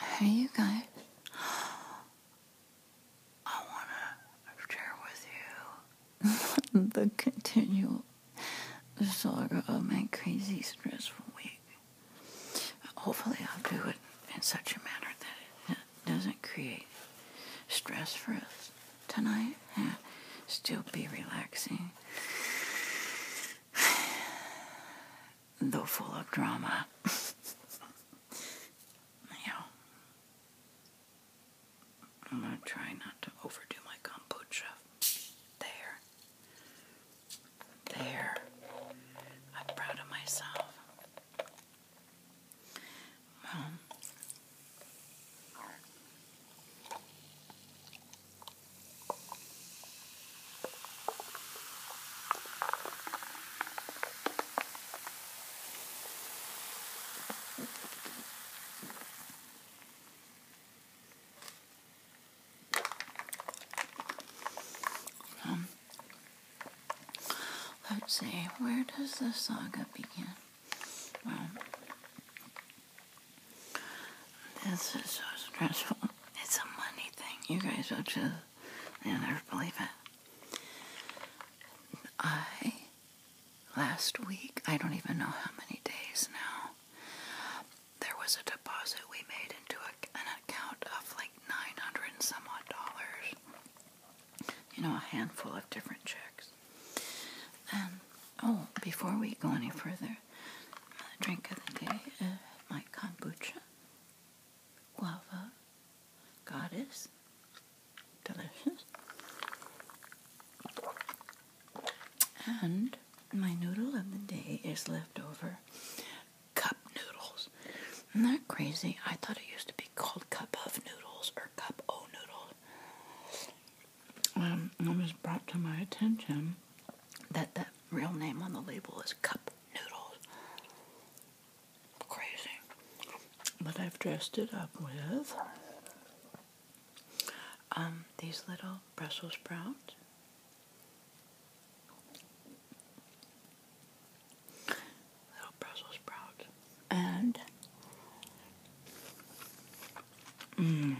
Hey, you guys. I want to share with you the continual saga of my crazy, stressful week. Hopefully, I'll do it in such a manner that it doesn't create stress for us tonight. and Still be relaxing. though full of drama. now, I'm going to try not to overdo my kombucha. There. There. I'm proud of myself. Well, um, let's see, where does the saga begin? Well, this is so stressful. It's a money thing. You guys will just, you'll never believe it. I, last week, I don't even know how many days now, there was a deposit we made into an account of like 900 and dollars. You know, a handful of different checks. oh, before we go any further, another drink of the day, uh, my kombucha, guava, goddess, delicious, and my noodle of the day is leftover cup noodles. Isn't that crazy? I thought it used to be called cup of noodles or cup o noodles. Um, was brought to my attention that the real name on the label is Cup Noodles. Crazy. But I've dressed it up with um, these little Brussels sprouts. Little Brussels sprouts. And, mm,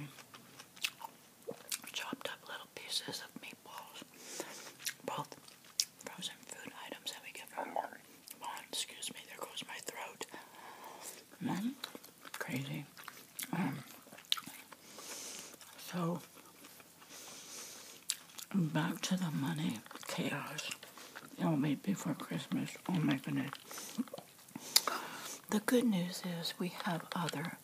chopped up little pieces of meatballs. Both frozen food items that we get from Walmart. Excuse me, there goes my throat. Man, mm-hmm. crazy. Um, so, back to the money chaos. It will be before Christmas. Oh my goodness. The good news is we have other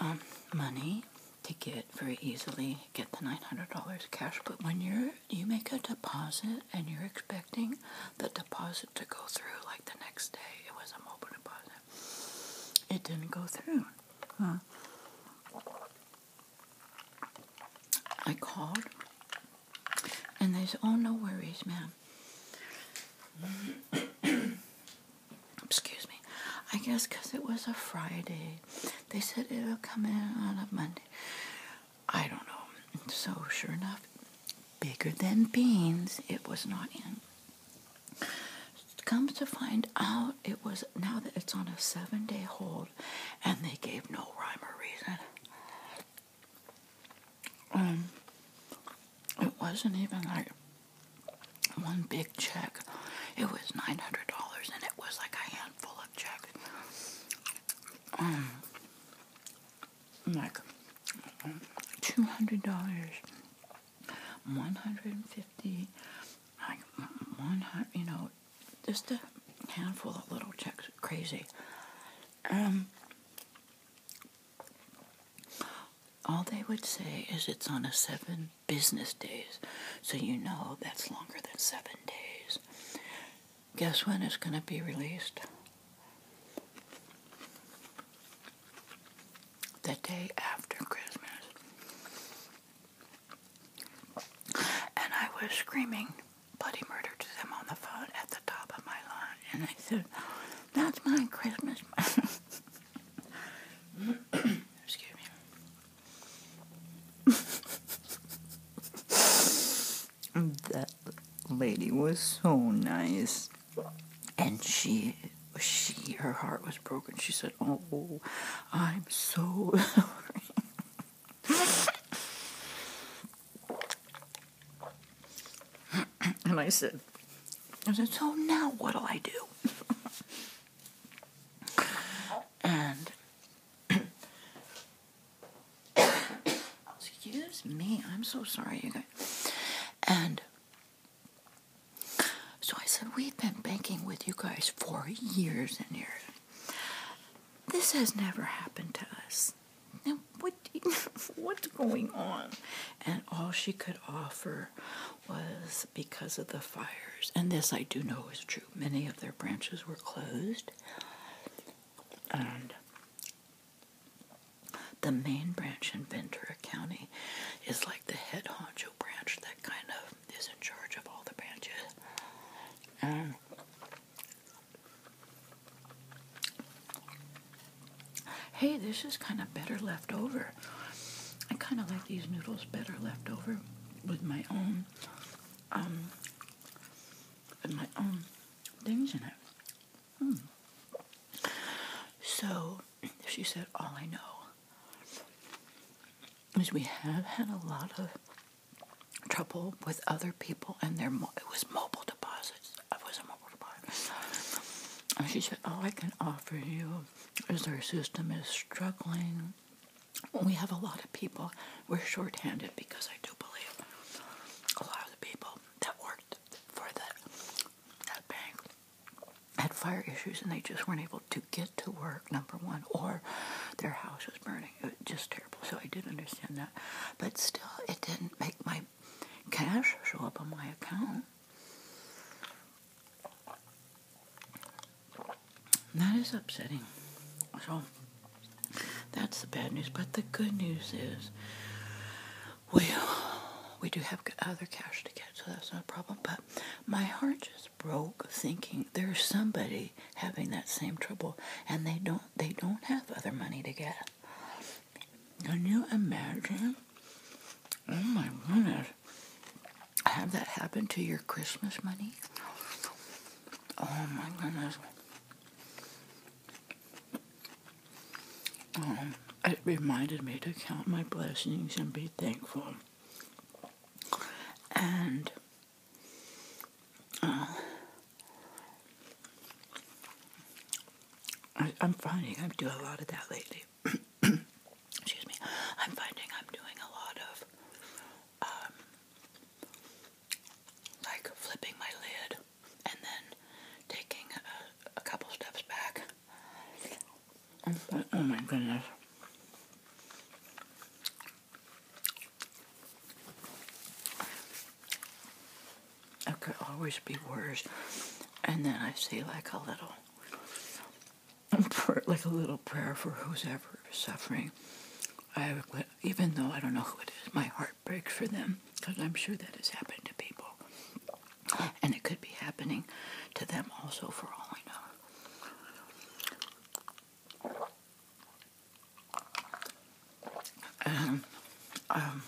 um, money to get very easily get the $900 cash but when you're you make a deposit and you're expecting the deposit to go through like the next day it was a mobile deposit it didn't go through I called and they said oh no worries man Excuse me. I guess because it was a Friday. They said it'll come in on a Monday. I don't know. So, sure enough, bigger than beans, it was not in. Comes to find out, it was now that it's on a seven day hold, and they gave no rhyme or reason. Um, it wasn't even like one big check. It was $900 and it was like a handful of checks. Um, like $200, $150, like 100 you know, just a handful of little checks. Crazy. Um, all they would say is it's on a seven business days. So you know that's longer than seven days. Guess when it's going to be released? The day after Christmas. And I was screaming bloody murder to them on the phone at the top of my lungs. And I said, That's my Christmas. that lady was so nice. And she she her heart was broken. She said, "Oh, I'm so sorry." and I said, I said, so now what'll I do? and excuse me, I'm so sorry, you guys. And so I said, we've been banking with you guys for years and years. This has never happened to us. Now we what's going on? And all she could offer was because of the fires. And this I do know is true. Many of their branches were closed. And the main branch in Ventura County is like the head honcho branch that kind of is in charge of all the branches hey, this is kind of better left over. I kind of like these noodles better left over with my own, um, with my own things in it. Hmm. So she said, all I know is we have had a lot of trouble with other people and their, it was mobile deposits. I was a mobile and she said, all oh, I can offer you is our system is struggling. We have a lot of people. We're shorthanded because I do believe a lot of the people that worked for that, that bank had fire issues and they just weren't able to get to work, number one, or their house was burning. It was just terrible. So I did understand that. But still, it didn't make my cash show up on my account. That is upsetting. So that's the bad news. But the good news is, well, we do have other cash to get, so that's not a problem. But my heart just broke thinking there's somebody having that same trouble, and they don't they don't have other money to get. Can you imagine? Oh my goodness. Have that happen to your Christmas money? Oh my goodness. Um, it reminded me to count my blessings and be thankful. And uh, I, am finding I do a lot of that lately. Excuse me. I'm finding I'm doing a lot of um, like flipping my lid and then taking a, couple steps back. oh, oh my goodness. It could always be worse. And then I say like a little, like a little prayer for whosoever is suffering. I, even though I don't know who it is, my heart breaks for them because I'm sure that has happened to people, and it could be happening to them also, for all I know. Um, um,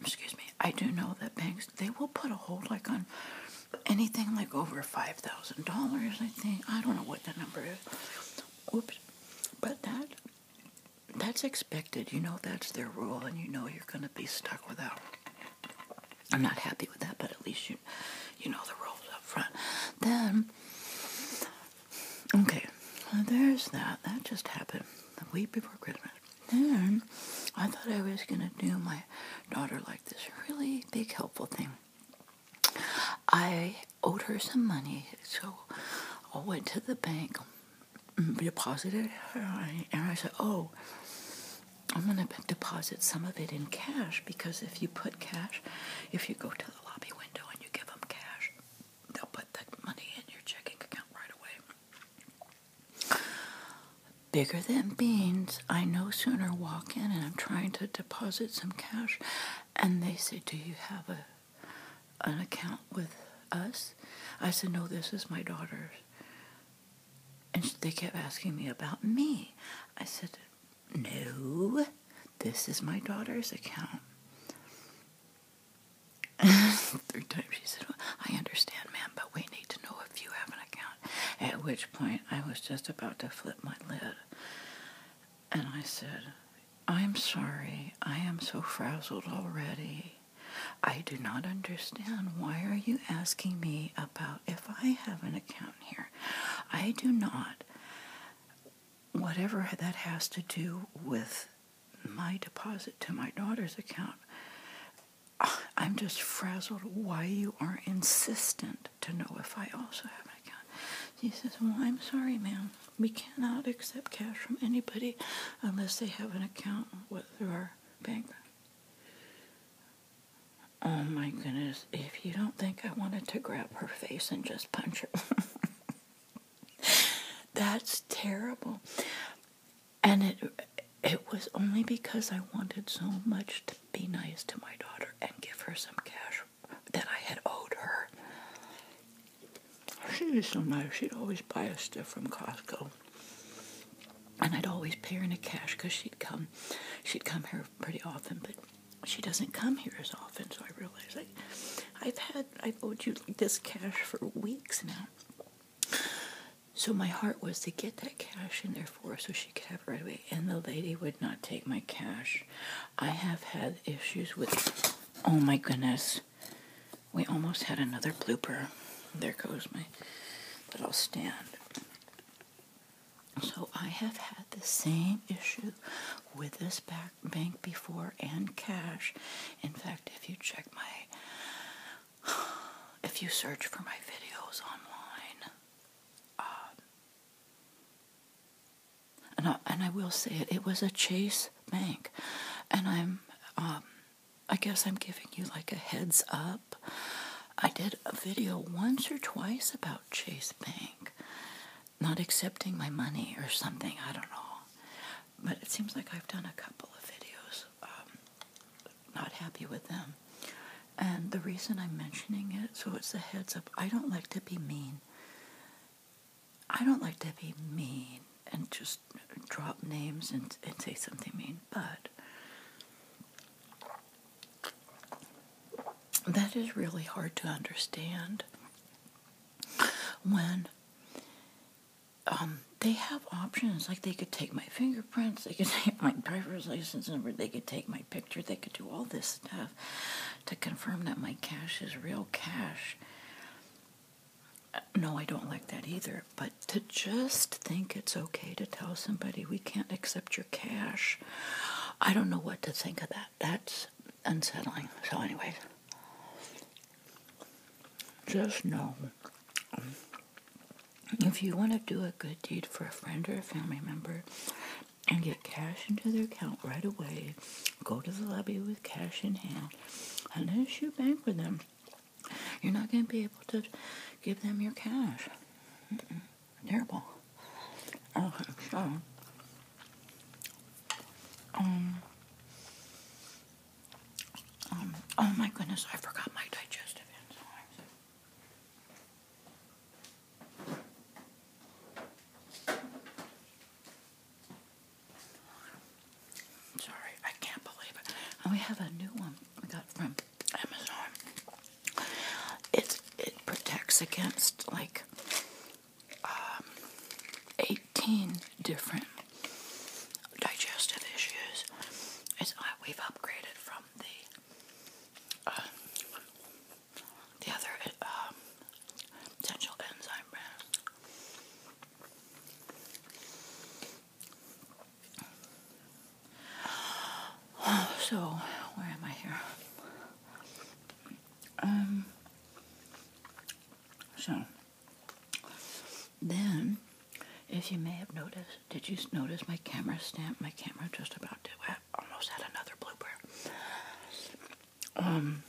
excuse me, I do know that banks they will put a hold like on anything like over five thousand dollars. I think I don't know what that number is. Whoops, but that that's expected. You know that's their rule, and you know you're gonna be stuck without. I'm not happy with that, but at least you you know the rules up front. Then Okay, there's that. That just happened the week before Christmas. Then I thought I was going to do my daughter like this really big helpful thing. I owed her some money, so I went to the bank, mm, deposited and I said, oh, I'm going to deposit some of it in cash because if you put cash, if you go to the lobby window and you give them cash, they'll put that money in your checking account right away. Bigger than beans, I no sooner walk in and I'm trying to deposit some cash, and they say, "Do you have a an account with us?" I said, "No, this is my daughter's." And they kept asking me about me. I said, "No, this is my daughter's account." Three times she said, I understand, ma'am, but we need to know if you have an account. At which point I was just about to flip my lid. And I said, I'm sorry, I am so frazzled already. I do not understand. Why are you asking me about if I have an account here? I do not. Whatever that has to do with my deposit to my daughter's account. Ah, I'm just frazzled why you are insistent to know if I also have an account. She says, Well, I'm sorry, ma'am. We cannot accept cash from anybody unless they have an account with our bank. Oh my goodness, if you don't think I wanted to grab her face and just punch her. That's terrible. And it it was only because I wanted so much to be nice to my daughter and give her some cash that I had owed her. She was so nice. She'd always buy us stuff from Costco. And I'd always pay her in cash because she'd come, she'd come here pretty often, but she doesn't come here as often. So I realized like, I've had i owed you this cash for weeks now. So my heart was to get that cash in there for her so she could have it right away. And the lady would not take my cash. I have had issues with. Oh my goodness. We almost had another blooper. There goes my will stand. So I have had the same issue with this bag bank before and cash. In fact, if you check my, if you search for my videos online, um, and, I, and I will say it, it was a Chase Bank, and I'm, um, I guess I'm giving you like a heads up. I did a video once or twice about Chase Bank, not accepting my money or something. I don't know. But it seems like I've done a couple of videos um, not happy with them. And the reason I'm mentioning it, so it's a heads up, I don't like to be mean. I don't like to be mean and just drop names and say something mean, but that is really hard to understand when um, they have options. Like they could take my fingerprints, they could take my driver's license number, they could take my picture, they could do all this stuff to confirm that my cash is real cash. No, I don't like that either. But to just think it's okay to tell somebody we can't accept your cash, I don't know what to think of that. That's unsettling. So, anyways, just know if you want to do a good deed for a friend or a family member and get cash into their account right away, go to the lobby with cash in hand, unless you bank with them, you're not going to be able to give them your cash. Terrible. Okay, oh, so um, um, oh my goodness, I forgot my digestive enzymes. Sorry, I can't believe it. And we have a new one we got from Amazon. It's, it protects against like um, 18 different digestive issues. Uh, we've upgraded from the uh, the other potential um, enzyme brand. So, where am I here? Um, so then, if you may have noticed, did you notice my camera stand? My camera just about did. I almost had another blooper. Um,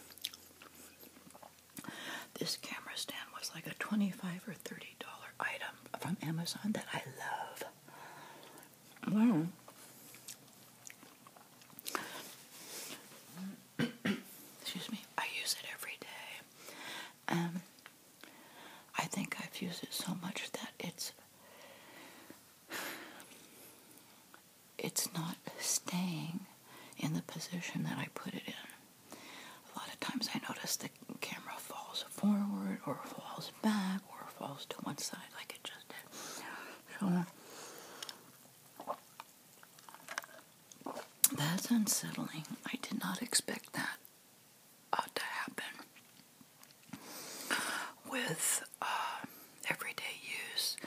this camera stand was like a twenty-five or thirty-dollar item from Amazon that I love. Well, excuse me, I use it every day. Um, I think I've used it so much that it's it's not staying in the position that I put it in. A lot of times I notice the camera falls forward or falls back or falls to one side like it just did. That's unsettling. I did not expect that uh, to happen. With uh, everyday use,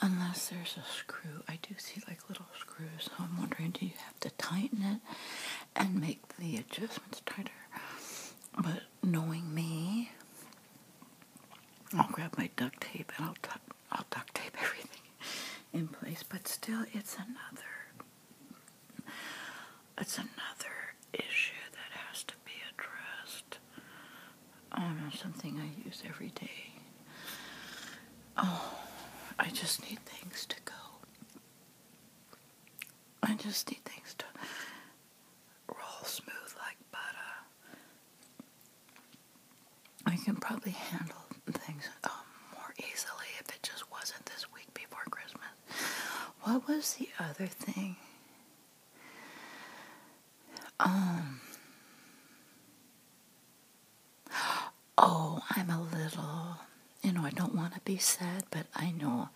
unless there's a screw. I do see like little screws, so I'm wondering do you have to tighten it and make the adjustments tighter? But knowing me, I'll grab my duct tape and I'll tuck I'll duct tape everything in place, but still it's another it's another issue that has to be addressed. Um, something I use every day. Oh, I just need things to go. I just need things to roll smooth like butter. I can probably handle things um, more easily if it just wasn't this week before Christmas. What was the other thing? Um. Oh, I'm a little, you know, I don't want to be sad, but I know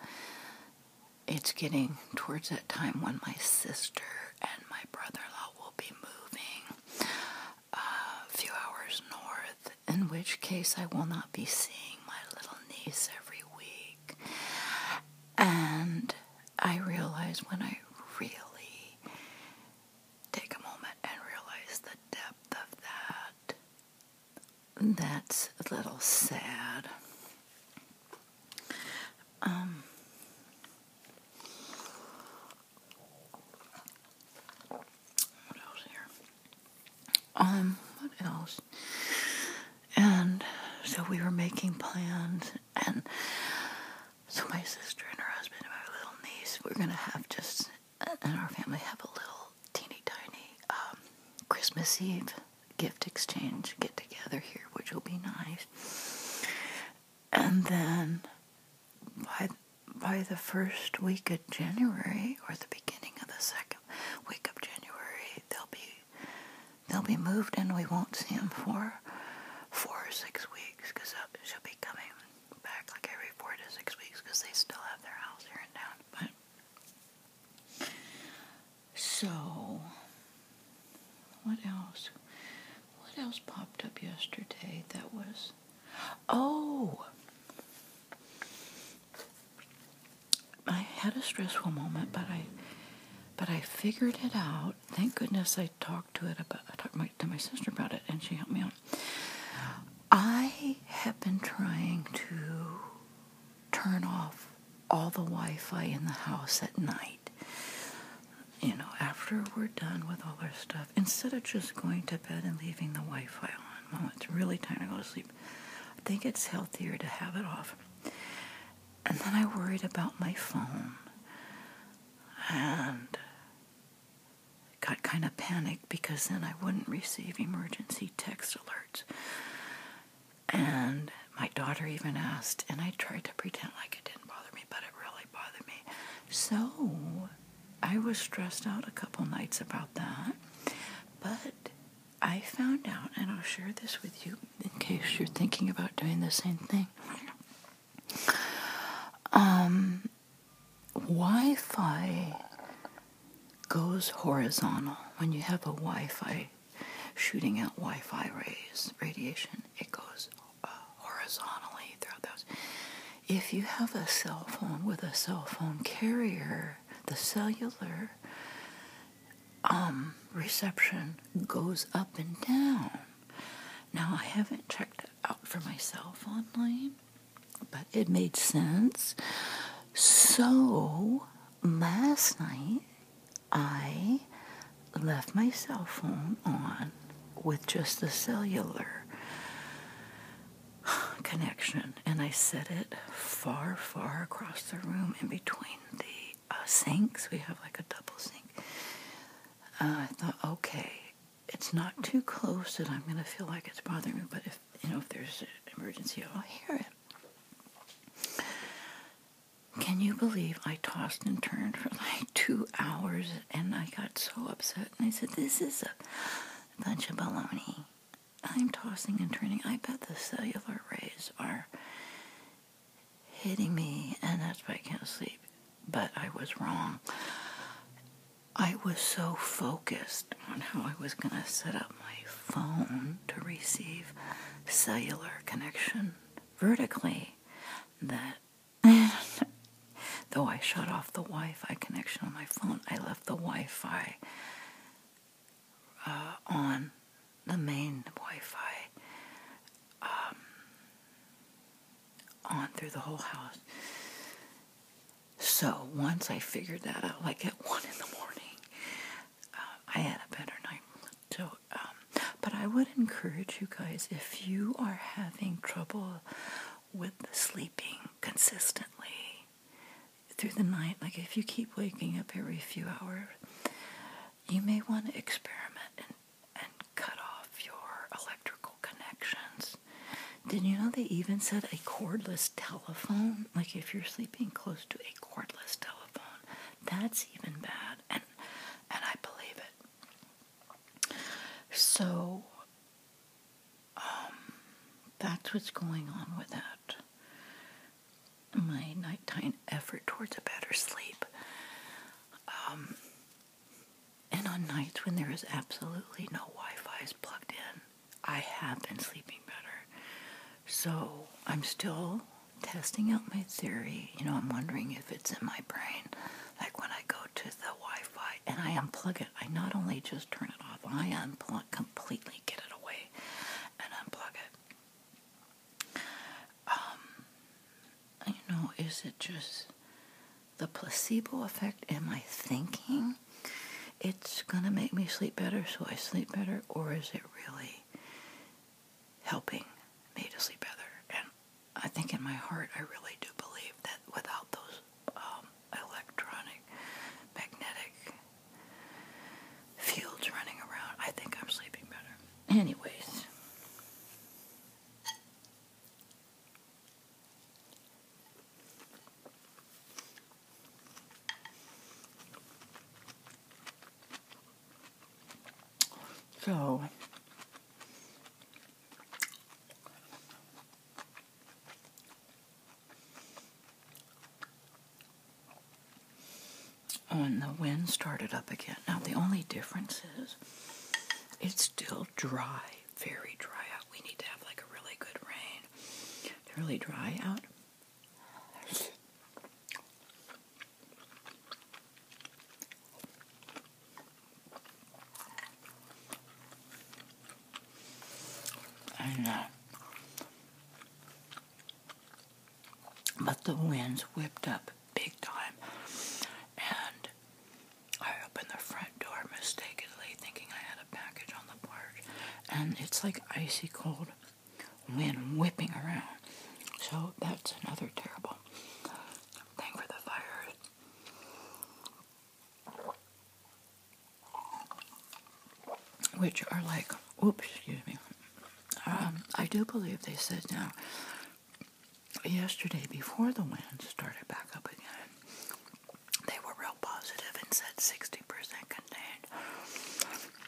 it's getting towards that time when my sister and my brother in law will be moving a few hours north, in which case I will not be seeing my little niece every week. And I realize when I really take a moment and realize the depth of that, that's a little sad. Um, what else here? Um, what else? And so we were making plans, and so my sister and her husband and my little niece, we're gonna have just, and our family have a little teeny tiny um, Christmas Eve gift exchange get together here, which will be nice. And then by by the first week of January or the beginning of the second week of January, they'll be they'll be moved and we won't see them for four or six weeks because she'll be coming back like every four to six weeks because they still have their house here and town. But so what else? What else popped up yesterday that was. Oh! I had a stressful moment, but I. But I figured it out. Thank goodness I talked to it about. I talked to my sister about it, and she helped me out. I have been trying to turn off all the Wi-Fi in the house at night you know, after we're done with all our stuff, instead of just going to bed and leaving the Wi Fi on, Mom, it's really time to go to sleep. I think it's healthier to have it off. And then I worried about my phone and got kind of panicked because then I wouldn't receive emergency text alerts. And my daughter even asked, and I tried to pretend like it didn't bother me, but it really really me. So I was stressed out a couple nights about that. But I found out, and I'll share this with you in case you're thinking about doing the same thing. Um, wi Fi goes horizontal. When you have a Wi Fi shooting out Wi Fi rays, radiation, it goes uh, horizontally throughout those. If you have a cell phone with a cell phone carrier, the cellular um, reception goes up and down. Now, I haven't checked out for myself online, but it made sense. So, last night I left my cell phone on with just the cellular connection, and I set it far, far across the room in between the uh, sinks. We have like a double sink. Uh, I thought, okay, it's not too close that I'm going to feel like it's bothering me, but if you know if there's an emergency, I'll hear it. Can you believe I tossed and turned for like two hours and I got so upset, and I said, This is a bunch of baloney. I'm tossing and turning. I bet the cellular rays are hitting me, and that's why I can't sleep. But I was wrong. I was so focused on how I was going to set up my phone to receive cellular connection vertically that Though I shut off the Wi Fi connection on my phone, I left the Wi Fi uh, on the main Wi Fi um, on through the whole house. So once I figured that out, like at one in the morning, uh, I had a better night. So, uh, but I would encourage you guys if you are having trouble with sleeping consistently through the night, like if you keep waking up every few hours, you may want to experiment and, and cut off your electrical connections. Did you know they even said a cordless telephone? Like if you're sleeping close to a cordless telephone, that's even bad. And and I believe it. So um, that's what's going on with that. My nighttime effort towards a better sleep. Um, and on nights when there is absolutely no Wi Fi is plugged in, I have been sleeping better. So I'm still testing out my theory. You know, I'm wondering if if it's in my brain. Like when I go to the Wi Fi and I unplug it, I not only just turn it off, I unplug completely, get it away, and unplug it. Um, you know, is it just the placebo effect? Am I thinking it's going to make me sleep better so I sleep better, or is it really helping me to sleep better? I think in my heart I really do believe that without those um, electronic magnetic fields running around, I think I'm sleeping better. Anyways. So, when the wind started up again. Now, the only difference is it's still dry, very dry out. We need to have like a really good rain. It's really dry out. And, uh, but the winds whipped up big time, and I opened the front door mistakenly, thinking I had a package on the porch, and it's like icy cold wind whipping around. So that's another terrible Thank for the fire. Which are like, oops, excuse me. Um, I do believe they said now, yesterday before the wind started back up again, they were real positive and said 60%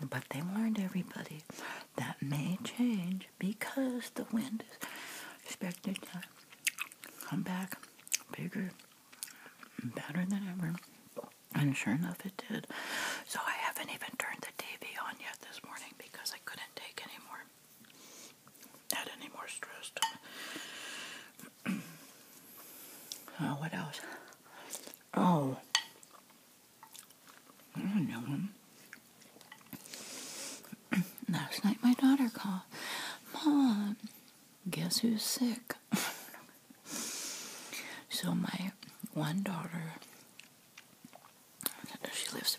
contained. But they warned everybody that may change because the wind is expected to come back bigger better than ever. And sure enough, it did. So I haven't even turned the TV on yet this morning because I couldn't take any more, add any more stress oh, what else? Oh, I don't know. Last night my daughter called, Mom, guess who's sick? so my one daughter, she lives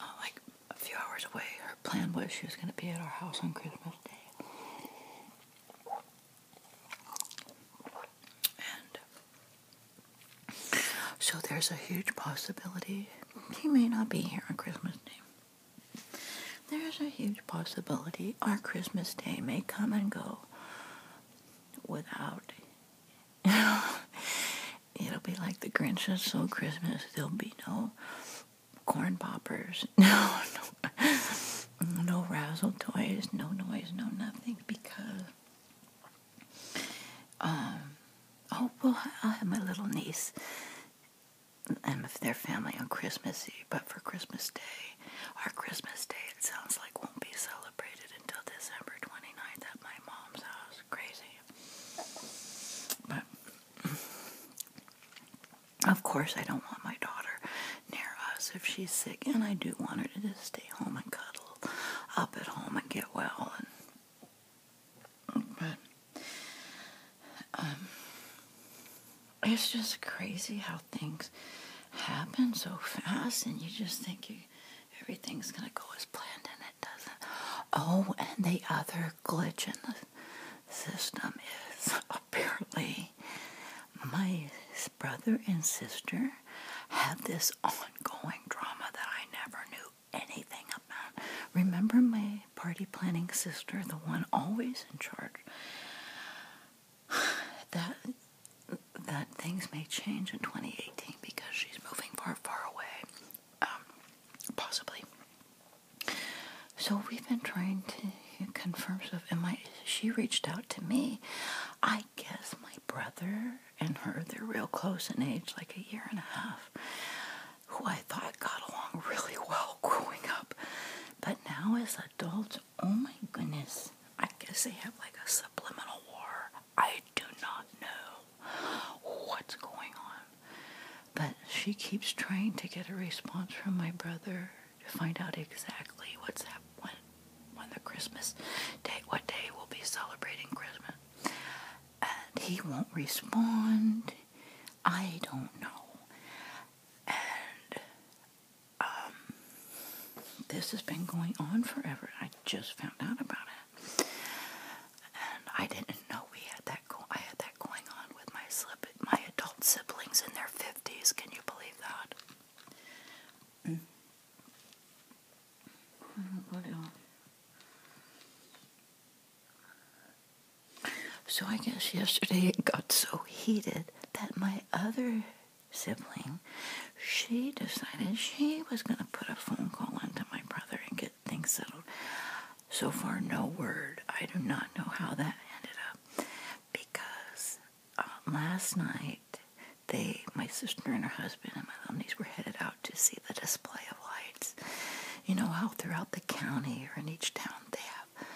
uh, like a few hours away. Her plan was she was going to be at our house on Christmas Day. So there's a huge possibility he may not be here on Christmas Day. There's a huge possibility our Christmas Day may come and go without. It'll be like the Grinch that stole Christmas. There'll be no corn poppers, no, no razzle toys, no noise, no nothing because um, oh, well, i have my little niece and their family on Christmas Eve, but for Christmas Day, our Christmas Day, it sounds like won't be celebrated until December 29th at my mom's house. Crazy. But, of course, I don't want my daughter near us if she's sick, and I do want her to just stay home and cuddle up at home and get well but um, it's just crazy how things happen so fast, and you just think you, everything's going to go as planned, and it doesn't. Oh, and the other glitch in the system is apparently my brother and sister had this ongoing drama that I never knew anything about. Remember my party planning sister, the one always in charge? That that things may change in 2018 because she's moving far, far away, um, possibly. So we've been trying to confirm stuff, and my she reached out to me. I guess my brother and her, they're real close in age, like a year and a half, who I thought got along really well growing up. But now as adults, oh my goodness, I guess they have like a subliminal war. I do not know what's going on. But she keeps trying to get a response from my brother to find out exactly what's happening when, the Christmas date, what day we'll be celebrating Christmas and he won't respond. I don't know. And um, this has been going on forever. I just found out about it, and I didn't know we had that. I had that going on with my slip, my adult siblings in their fifties. Can you believe that? Mm. mm what else. So I guess yesterday it got so heated that my other sibling, she decided she was going to put a phone call into my brother and get things settled. So far, no word. I do not know how that ended up because uh, last night they, my sister and her husband and my little were headed out out to see the display of lights. You know how throughout the county or in each town they have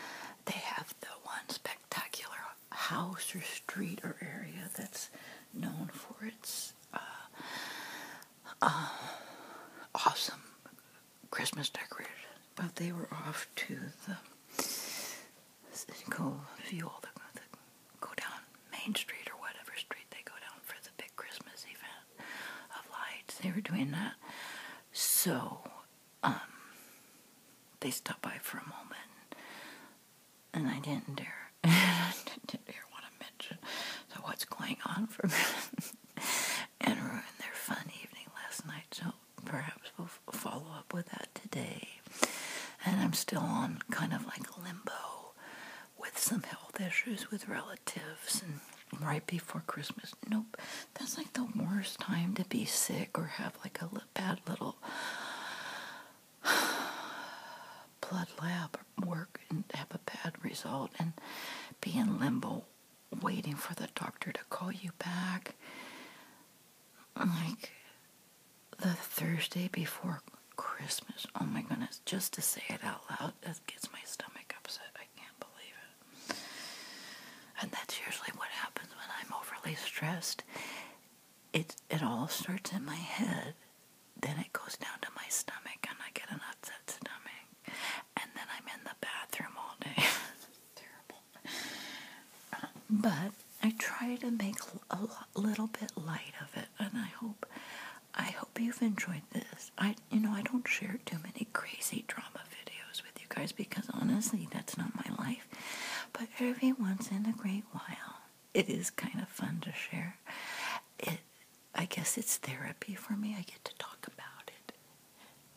they have the one spectacular house or street or area that's known for its uh, uh, awesome Christmas decorations. But they were off to the go view all the, the go down Main Street or whatever street they go down for big Christmas event of lights. They were doing that. So, um, they stopped by for a moment, and I didn't dare, I didn't dare want to mention so what's going on for them and ruin their fun evening last night. So perhaps we'll follow up with that today. And I'm still on kind of like limbo with some health issues with relatives and right before Christmas. Nope, that's like the worst time to be sick or have like a bad little blood lab work and have a bad result and be in limbo waiting for the doctor to call you back. Like the Thursday before Christmas. Oh my goodness, just to say it out loud, that gets my stomach upset. I can't believe it. And that's usually what happens when I'm overly stressed. It it all starts in my head, then it goes down to my stomach and I get an upset stomach. And then I'm in the bathroom all day. terrible. But I try to make a little bit light of it and I hope I hope hope you've enjoyed this. I, you know, I don't share too many crazy drama videos with you guys because honestly, that's not my life. But every once in a great while, it is kind of fun to share. It, I guess, it's therapy for me. I get to talk about it,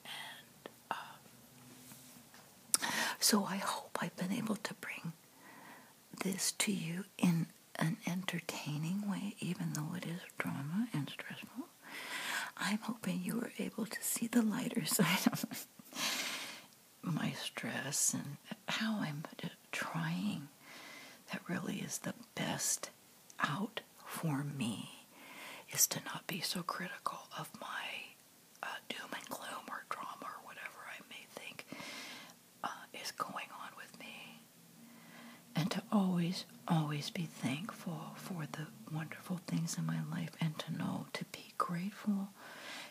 and um, so I hope I've been able to bring this to you in an entertaining way, even though it is drama and stressful. I'm hoping you were able to see the lighter side of my stress and how I'm trying. That really is the best out for me is to not be so critical of my uh, doom and gloom or drama or whatever I may think uh, is going on with me. And to always, always be thankful for the wonderful things in my life and to know to be grateful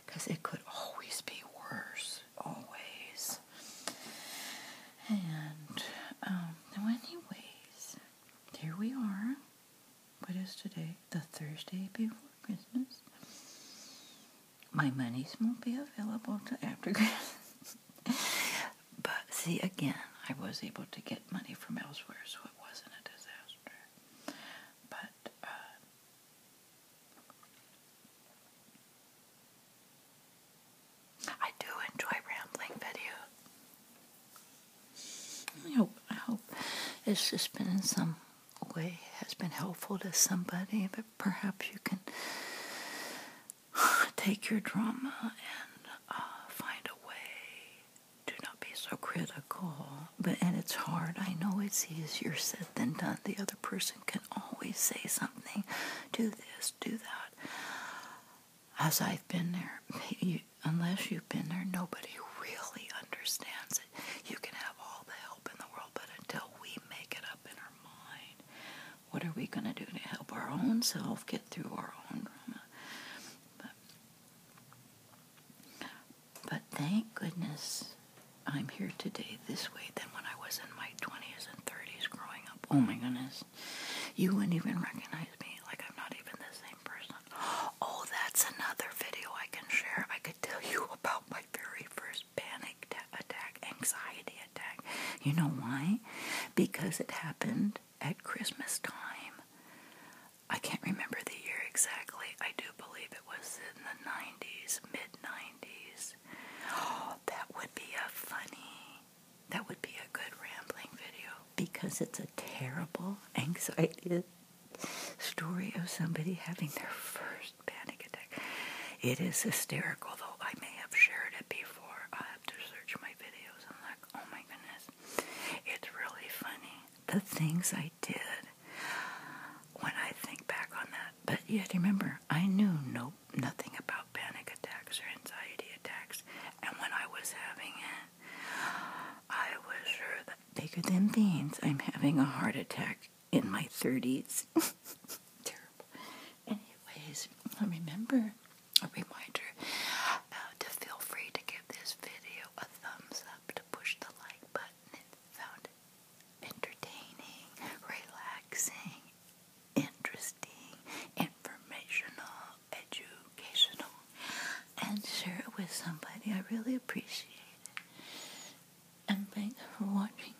because it could always be worse. Always. And, um, anyways, here we are. What is today? The Thursday before Christmas. My monies won't be available to after Christmas. But see, again, I was able to get money from elsewhere, so it wasn't a disaster. But, uh, I do enjoy rambling video. I hope it's just been in some way has been helpful to somebody, but perhaps you can take your drama and uh, find a way Do not be so critical. But and it's hard. I know it's easier said than done. The other person can always say something. Do this. Do that. As I've been there, unless you've been there, nobody really understands it. You can have all the help in the world, but until we make it up in our mind, what are we going to do to help our own self get through our own drama? but thank goodness I'm here today this way than when I was in my 20s and 30s growing up. Oh my goodness. You wouldn't even recognize me. Like, I'm not even the same person. Oh, that's another video I can share. I could tell you about my very first panic attack anxiety attack. You know why? Because it happened at Christmas time. I can't remember the year exactly. I do believe it was in the 90s, mid 90s. that would be a funny, that would be a good rambling video because it's a terrible anxiety story of somebody having their first panic attack. It is hysterical, though I may have shared it before. I have to search my videos. I'm like, oh my goodness, it's really funny the things I did when I think back on that. But yet, remember, I knew no nothing about panic attacks or anxiety attacks, and when I was having it, I was sure that bigger than beans, I'm having a heart attack in my 30s. Terrible. Anyways, remember a reminder uh, to feel free to give this video a thumbs up, to push the like button if found entertaining, relaxing, interesting, informational, educational, and share it with somebody. I really appreciate it. And thanks for watching.